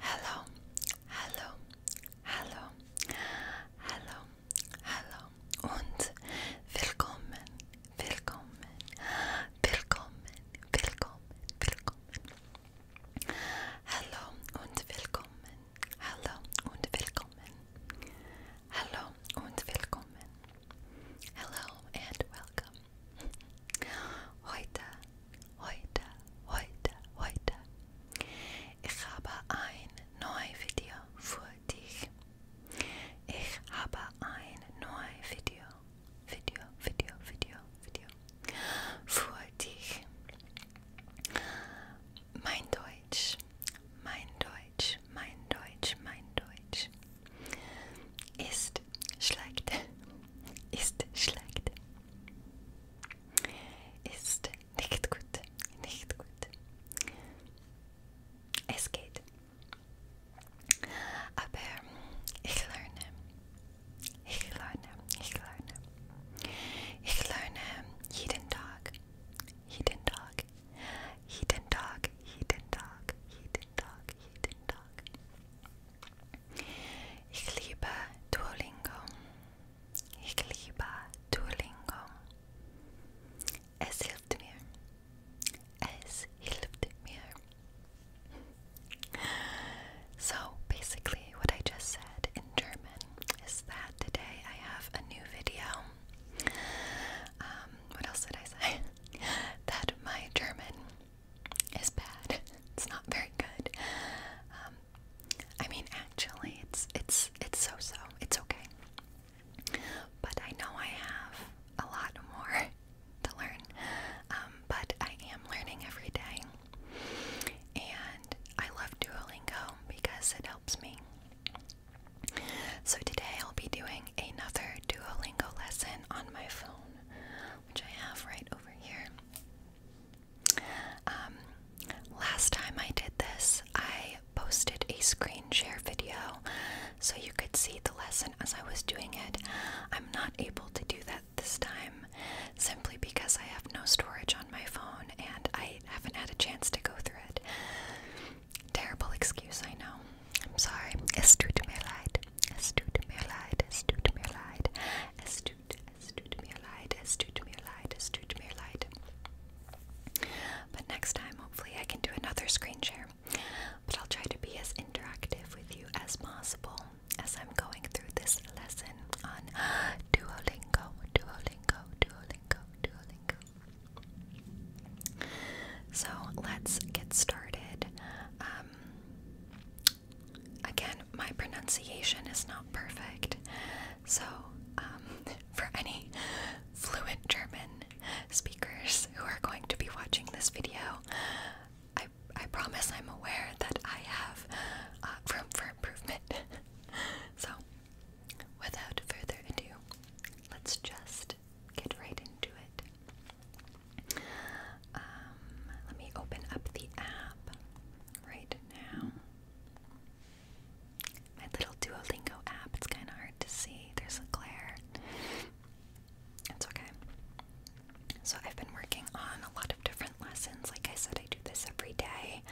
Hallo, hallo, hallo, hallo, hallo und willkommen, willkommen, willkommen, willkommen, willkommen. Hallo und willkommen, hallo und willkommen, hallo und willkommen. Hallo and welcome. Heute, heute, heute, heute. Ich habe ein neues Video für dich. Ich habe ein neues Video, Video, Video, Video, Video für dich. Mein Deutsch, mein Deutsch, mein Deutsch, mein Deutsch. Ist schlecht. Ist schlecht. Ist nicht gut. Nicht gut. Es geht. Aber ich lerne. Ich lerne. Ich lerne. Ich lerne jeden Tag. Jeden Tag. Jeden Tag. Jeden Tag. Jeden den Tag, Ich liebe Duolingo. Ich liebe Duolingo. Es hilft mir. Es hilft mir. So basically, what I just said in German is that today I have a new video. Um, what else did I say? that my German is bad. It's not very good. Um, I mean, actually, it's it's it's so-so. It's okay. But I know I have a lot more to learn. Um, but I am learning every day, and I love Duolingo because it helps me. So today I'll be doing another Duolingo lesson on my phone, which I have right over here. Um, last time I did this, I posted a screen share video so you could see the lesson as I was doing it. I'm not able to do that this time simply because I have no storage on my phone and I haven't had a chance to go through it. Terrible excuse, I know. I'm sorry. Es tut mir leid. Es tut mir leid. Es tut mir leid. Es tut, es tut mir leid. Es tut But next time, hopefully, I can do another screen share. But I'll try to be as interactive with you as possible as I'm going through this lesson on Duolingo, Duolingo, Duolingo, Duolingo. So let's get started. Um, again, my pronunciation is not perfect, so um, for any fluent German speakers who are going to be watching this video, I I promise I'm aware that I have uh, room for improvement. so, without further ado, let's just get right into it. Um, let me open up the app right now. My little Duolingo app, it's kind of hard to see. There's a glare. It's okay. So, I've been working on a lot of different lessons. Like I said, I do this every day.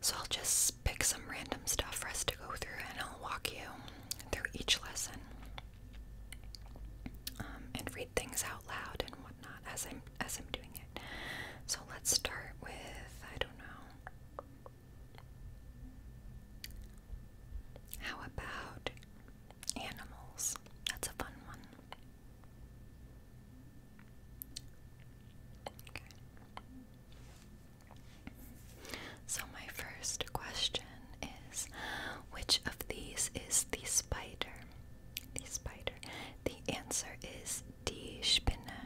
So, I'll just pick some random stuff for us to go through and I'll walk you through each lesson um, and read things out loud and whatnot as I'm as I'm doing it. So let's start with I don't know. How about animals? That's a fun one. Okay. So, my first question is which of these is the spider? The spider. The answer is die Spinne.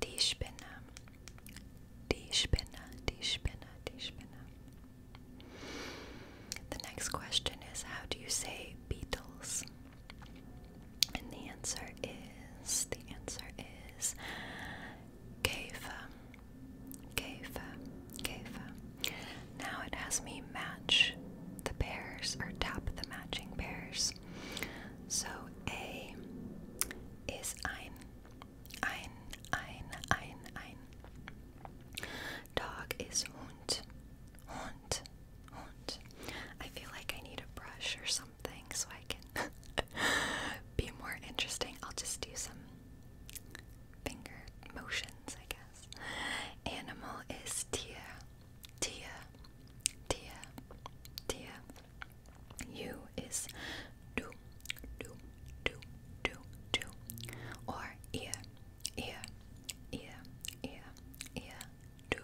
Die Spinne. Die Spinne. Die Spinne. Die Spinne. The next question is how do you say beetles? And the answer is the answer is Käfa, Käfa, Käfa. Now it has me match the pairs or tap the matching pairs. So A is ein, ein, ein, ein, ein. Dog is Hund, Hund, Hund. I feel like I need a brush or something so I can be more interesting. I'll just do some finger motions, I guess. Animal is deer, deer, deer, deer. You is do, do, do, do, do. Or ear, ear, ear, ear, ear, do,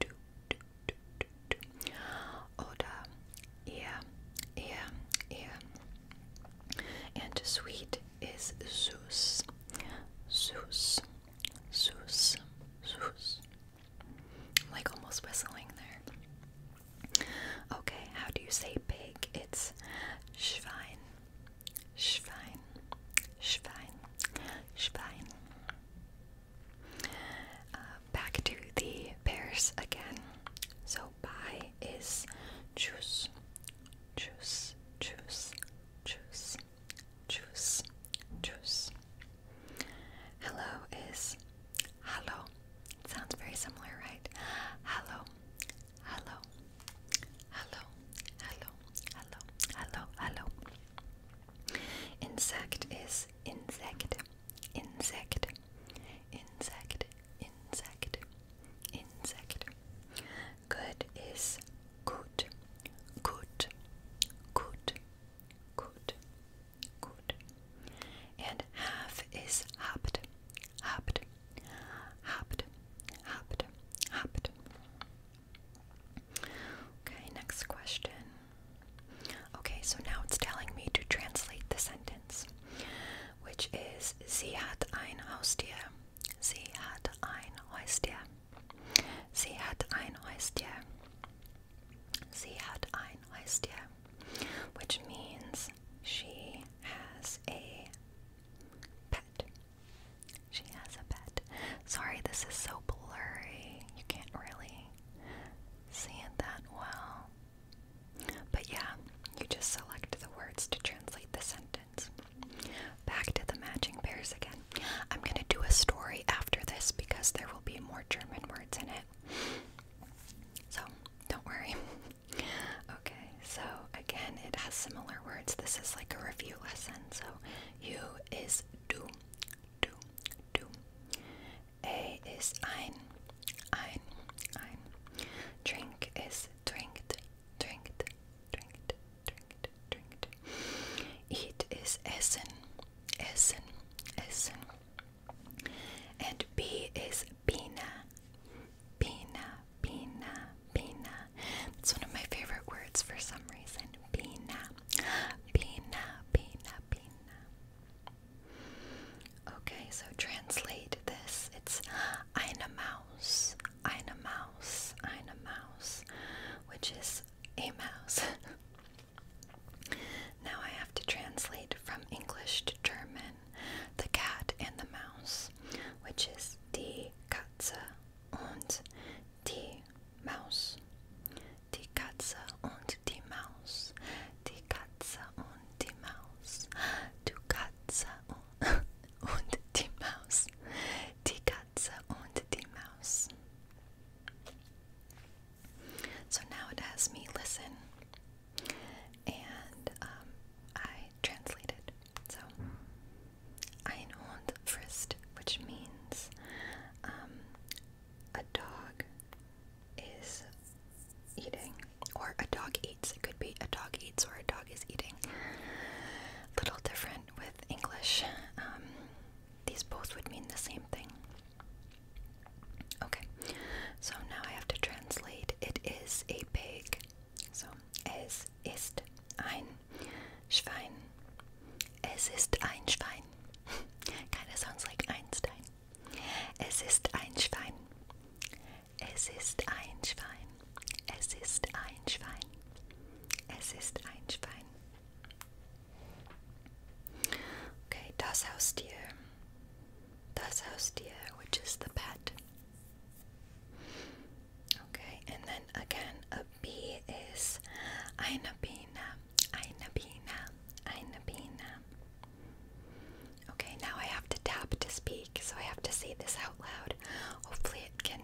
do, do, do, do, do oder ihr, ihr, ihr. And sweet is süß, süß, süß, süß. Like almost whistling there. Okay, how do you say pig? It's Schwein, Schwein, Schwein, Schwein. Uh, back to the pairs again. So buy is juice, juice, juice, juice, juice, juice. Hello is hello. It sounds very similar, right? Hello, hello, hello, hello, hello, hello, hello. Insect is insect insect, insect, insect, insect. Good is good, good, good, good, good. And half is habt, habt, habt, habt, habt. Okay, next question. Okay, so now it's telling me to translate the sentence which is Sie hat ein Haustier. Sie hat ein Haustier. Sie hat ein Haustier. Sie hat ein Haustier, which means she has a pet. She has a pet. Sorry, this is so blurry. You can't really see it that well. But yeah, you just select the words to translate the sentence. Back to the matching pairs again. I'm going to do a story after this because there will be more German words in it. So, don't worry. Okay, so again, it has similar words. This is like a review lesson. So, you is do, do, do. A is ein, ein, ein. Drink is trinkt, trinkt, trinkt, trinkt, trinkt. Eat is essen, essen, essen. And B is pina, pina, pina, pina. It's one of my favorite words for some reason. Pina, pina, pina, pina. Okay, so translate this. It's eine Maus, eine Maus, eine Maus, which is a mouse. now I have to translate from English to German the cat and the mouse, which is die Katze und die Maus. Die Katze und die Maus. Die Katze und die Maus, du Katze und die Maus, die Katze und die Maus. So now it has me listen, and um, I translated. So, ein Hund frisst, which means um, a dog is eating, or a dog eats. It could be a dog eats or a dog is eating. Little different with English. Um, these both would mean the same thing. Okay, so now I have to translate. It is a pig. So, es ist ein Schwein. Es ist ein Schwein. kind of sounds like Einstein. It is a pig. It is a pig. It is a pig. It is a pig. Es ist ein Schwein. Okay, das Haustier. Das Haustier, which is the pet. Okay, and then again a bee is eine Biene, eine Biene, eine Biene. Okay, now I have to tap to speak, so I have to say this out loud. Hopefully, it can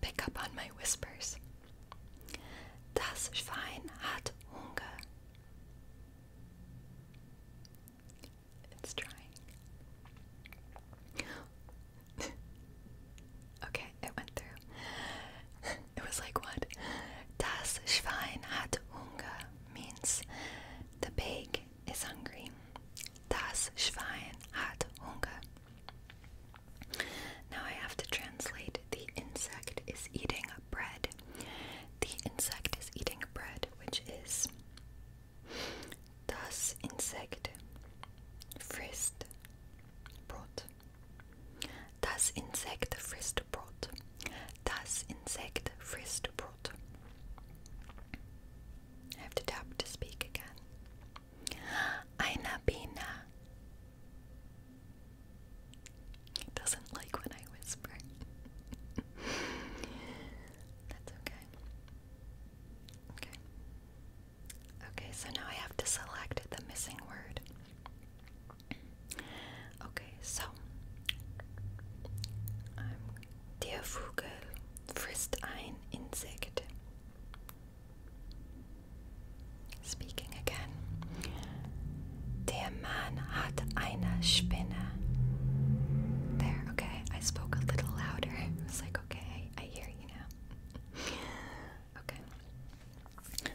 pick up on my whispers. Das Schwein hat Hunger. It's trying. okay, it went through. it was like what? Das Schwein hat Hunger means the pig is hungry. Das Schwein hat Hunger. Now I have to translate the insect is eating bread. The insect is eating bread, which is Das Insekt frisst Brot. Das Insekt frisst Brot. Das Insekt frisst Brot. I have to tap to speak again. Eine Biene. doesn't like when I whisper. That's okay. Okay. Okay, so now I have to select the missing word. Okay, so der Vogel frisst ein Insekt. Speaking again. Der Mann hat eine Spinne. There, okay, I spoke a little louder. I like, okay, I hear you now. okay.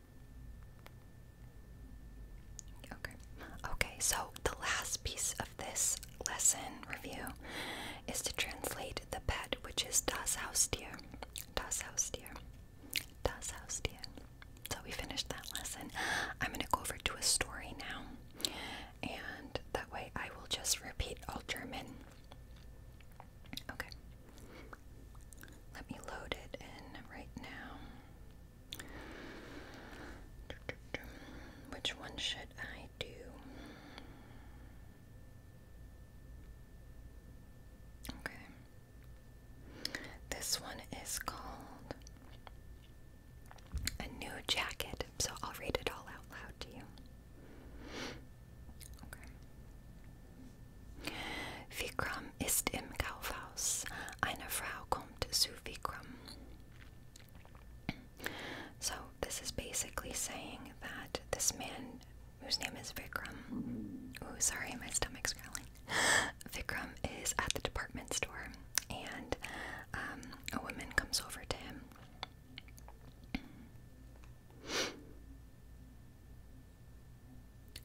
Okay. Okay, so the last piece of this lesson review is to translate the pet, which is Das Haustier. Das Haustier. Das Haustier. So we finished that lesson. I'm going to go over to a story now. And that way I will just repeat all German. Okay. Let me load it in right now. Which one should I do? Okay. This one is called A New Jacket, so I'll read it all out loud to you. Okay. Vikram ist im Kaufhaus. Eine Frau kommt zu Vikram. So, this is basically saying that this man, whose name is Vikram, oh, sorry, my stomach's growling. Vikram is at the department store, and um, a woman comes over to him.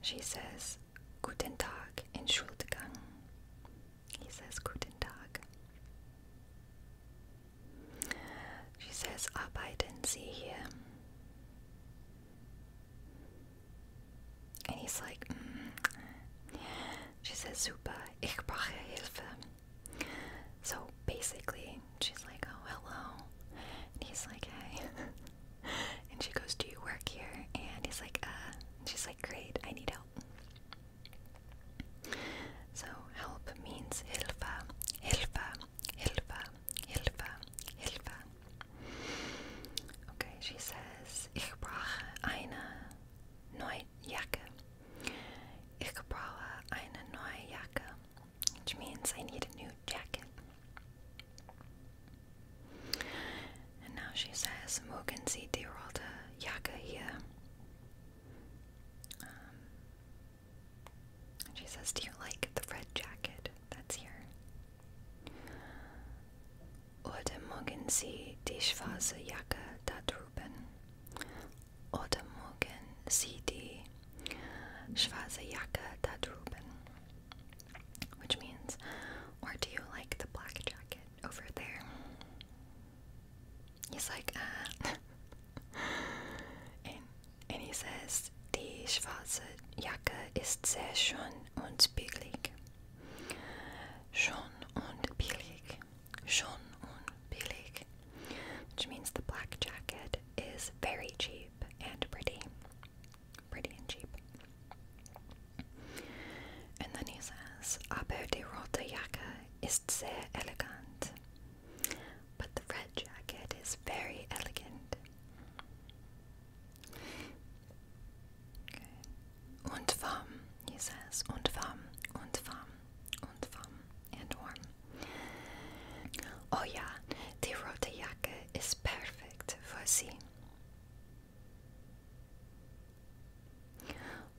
She says, Guten Tag, in Entschuldigung. He says, Guten Tag. She says, Arbeiten Sie hier? And he's like, mm. She says, Super, ich brauche Hilfe. So basically, she's like, Oh, hello. And he's like, Hey. and she goes, Do you work here? And he's like, Uh, she's like, Great, I need help. So help means hilfa, hilfa, hilfa, hilfa, hilfa. Okay, she says, Ich brauche eine neue Jacke. Ich brauche eine neue Jacke which means I need a new jacket. And now she says, "Morgen sie die rote Jacke hier? and she says, Do you like the red jacket that's here? Oder morgen sie die schwarze Jacke da drüben? Oder morgen sie die schwarze Jacke da drüben? Which means, or do you like the black jacket over there? He's like, uh, and, and he says, Die schwarze Jacke ist sehr schön und billig. Schön und billig. Schön und billig. Which means the black jacket is very cheap and pretty. Pretty and cheap. And then he says, Aber die rote Jacke ist sehr elegant. But the red jacket is very elegant. Und warm, he says. Und warm, und warm, und warm, and warm. Oh yeah, the rote Attacke ist perfekt für Sie.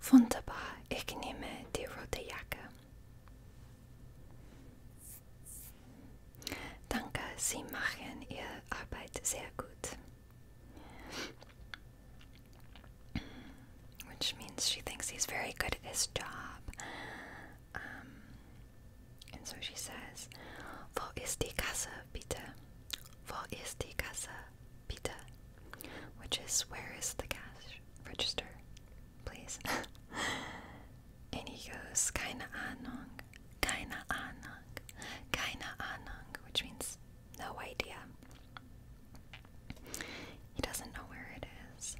Wunderbar, ich nehme die rote Jacke. Danke, Sie machen Ihre Arbeit sehr gut. Which means she thinks he's very good at his job. Um, and so she says, Wo ist die bitte? Wo ist die bitte? Which is, where is the cash register, please? and he goes, keine Ahnung, keine Ahnung, keine Ahnung, which means no idea. He doesn't know where it is.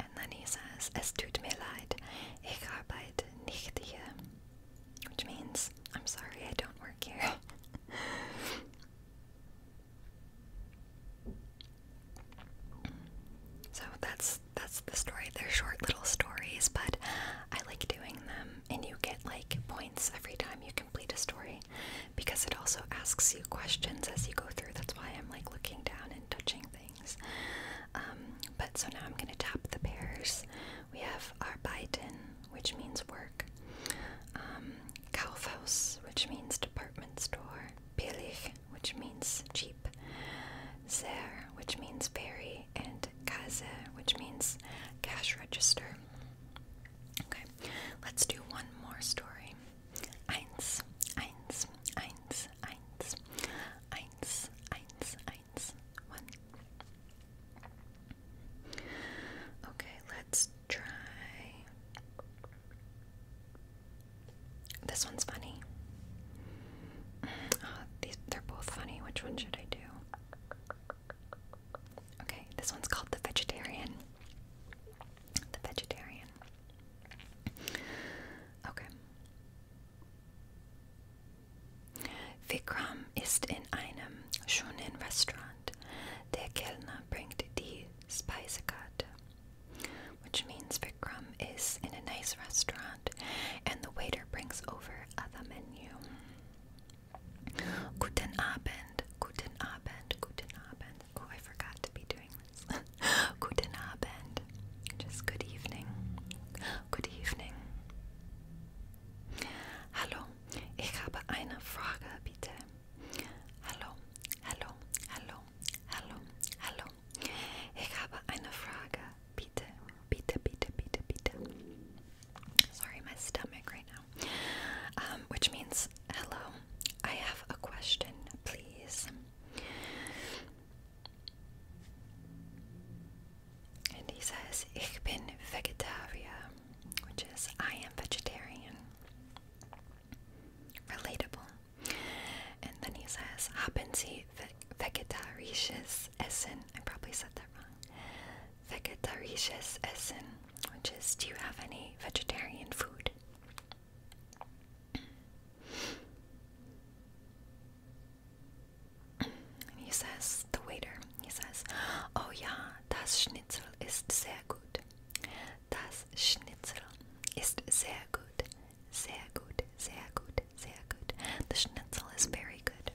And then he says, Es tut mir leid, ich arbeite nicht hier. Which means, I'm sorry, I don't work here. so that's that's the story. They're short little stories, but I like doing them, and you get like points every time you complete a story because it also asks you questions as you go through. That's why I'm like looking down and touching things. Um, but so now I'm going to tap the pairs. We have Arbeiten, which means work, Kaufhaus, um, which means department store, Billig, which means cheap, Zer, which means very, and Kasse, which means cash register. Okay, let's do one more story. Eins, eins. Eins, one. Okay, let's try. This one's funny. Mm, oh, these, they're both funny. Which one should I do? Okay, this one's called The Vegetarian. The Vegetarian. Okay. Vikram ist in einem schönen Restaurant. Der Kellner bringt die Speisekarte. Which means Vikram is in a nice restaurant and the waiter brings over the menu. Guten Abend, guten Abend, guten Abend. Oh, I forgot to be doing Thomas. Guten Abend. Just good evening. Good evening. Hallo, ich habe eine Frage, bitte. Hallo, hallo, hallo, hallo, hallo. Ich habe eine Frage, bitte, bitte, bitte, bitte, bitte. Sorry, my stomach right now. Um, which means, hello, I have a question, please. And he says, Ich bin Vegetarier, which is I am vegetarian. Relatable. And then he says, Haben Sie Vegetarische Essen? I probably said that wrong. Vegetarische Essen, which is, do you have any vegetarian food? he says, the waiter, he says, Oh yeah, das Schnitzel ist sehr gut. Das Schnitzel ist sehr gut. Sehr gut, sehr gut, sehr good. The Schnitzel is very good.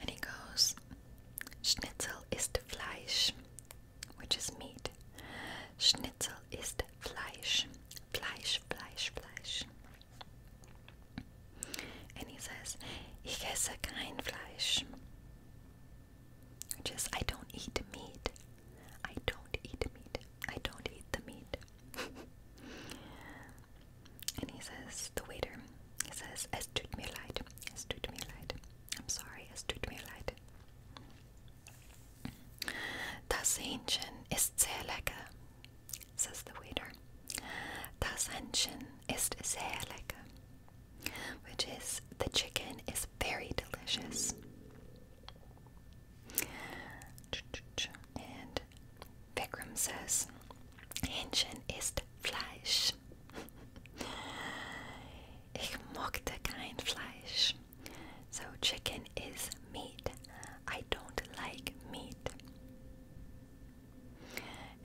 And he goes, Schnitzel ist Fleisch which is meat. Schnitzel ist Fleisch. Fleisch, Fleisch, Fleisch. And he says, Ich esse kein Fleisch. Which is, I don't eat meat. I don't eat meat. I don't eat the meat. and he says, the waiter, he says, Es tut mir leid. Es tut mir leid. I'm sorry, es tut mir leid. Das Hähnchen ist sehr lecker, says the waiter. Das Hähnchen ist sehr lecker, which is the chicken is very delicious. And Vikram says, Hähnchen ist Fleisch. ich mochte kein Fleisch. So, chicken is meat. I don't like meat.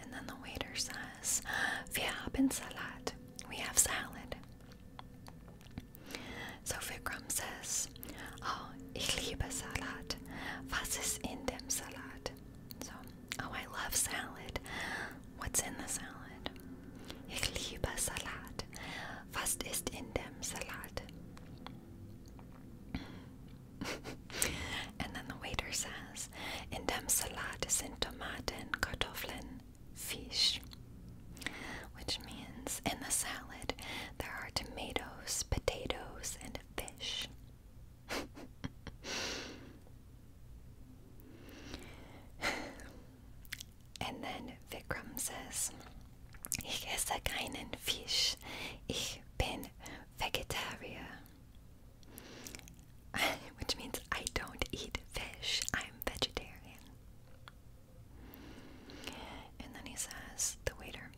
And then the waiter says, Wir haben Salat. We have salad. So Vikram says, Oh, ich liebe Salat. Was ist in dem Salat? So, oh, I love salad. What's in the salad? Ich liebe Salat. Was ist in dem Salat? and then the waiter says, In dem Salat sind Tomaten, Kartoffeln, fisch, Which means in the salad there are tomatoes, potatoes, and fish. And then Vikram says, Ich esse keinen Fisch. Ich bin vegetarier. Which means I don't eat fish. I'm vegetarian. And then he says, the waiter,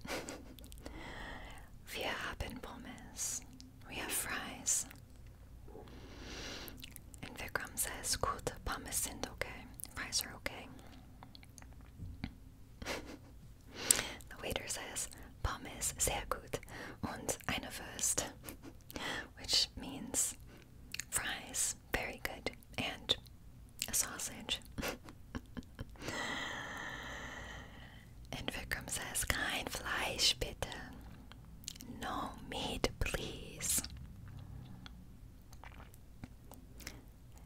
Wir haben Pommes. We have fries. And Vikram says, "Good, Pommes sind okay. Fries are okay." the waiter says, "Pommes sehr gut und eine Wurst," which means fries very good and a sausage. and Vikram says, "Kein Fleisch bitte." No meat, please.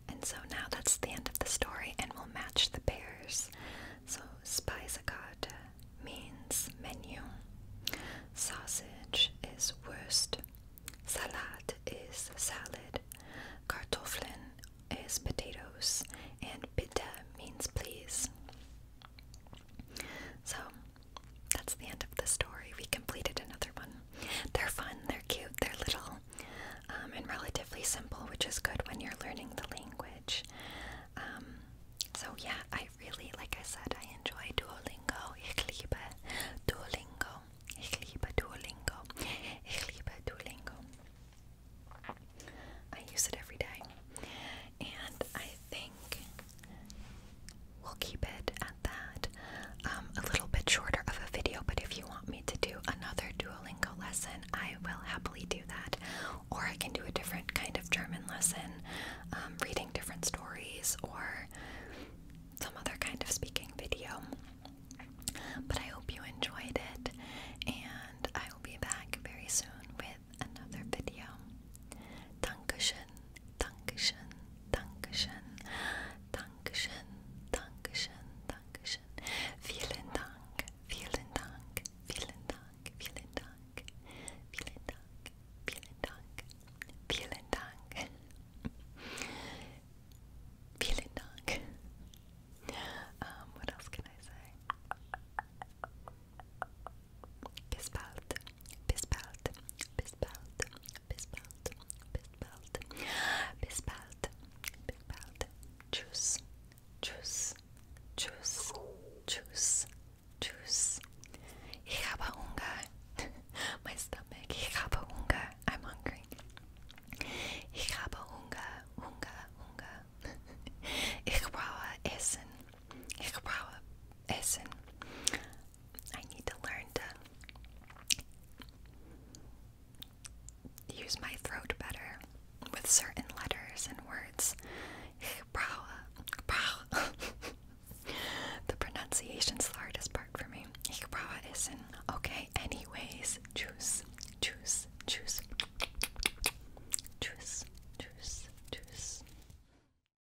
And so now that's the end of the story, and we'll match the pairs. So, Speisekarte means menu, sausage is wurst, salad is salad, kartoffeln is potatoes, and bitte means please. So, that's the end of the story. We completed another one. They're fun, they're cute, they're little, um, and relatively simple, which is good when you're learning the language. Um, so, yeah, I really, like I said, I enjoy Duolingo. Ich liebe Duolingo. Ich liebe Duolingo. Ich liebe Duolingo. I use it every day. And I think we'll keep it at that. Um, a little bit shorter of a video, but if you want me to do another Duolingo lesson, I will happily do that. Or I can do a different kind of German lesson, um, reading different stories, or some other kind of speaking video. But I hope you enjoyed it, and I will be back very soon with another video. Dankeschön Dankeschön, Dankeschön, Dankeschön, Dankeschön, Dankeschön. Vielen Dank, vielen Dank, vielen Dank, vielen Dank, vielen Dank, vielen Dank, vielen Dank. Vielen Dank. Um, what else can I say? Bispelt, Bispelt, Bispelt, Bispelt, Bispelt, Bispelt, Bispelt, Juice, Juice, Juice, Juice, Juice. Ich habe Hunger. My stomach. Ich habe Hunger. I'm hungry. Ich habe Hunger, Hunger, Hunger. Ich brauche Essen. Ich brauche Essen. I need to learn to use my throat better with certain letters and words. the pronunciation's the hardest part for me. isn't. Okay, anyways, juice, juice, juice. Juice, juice, juice.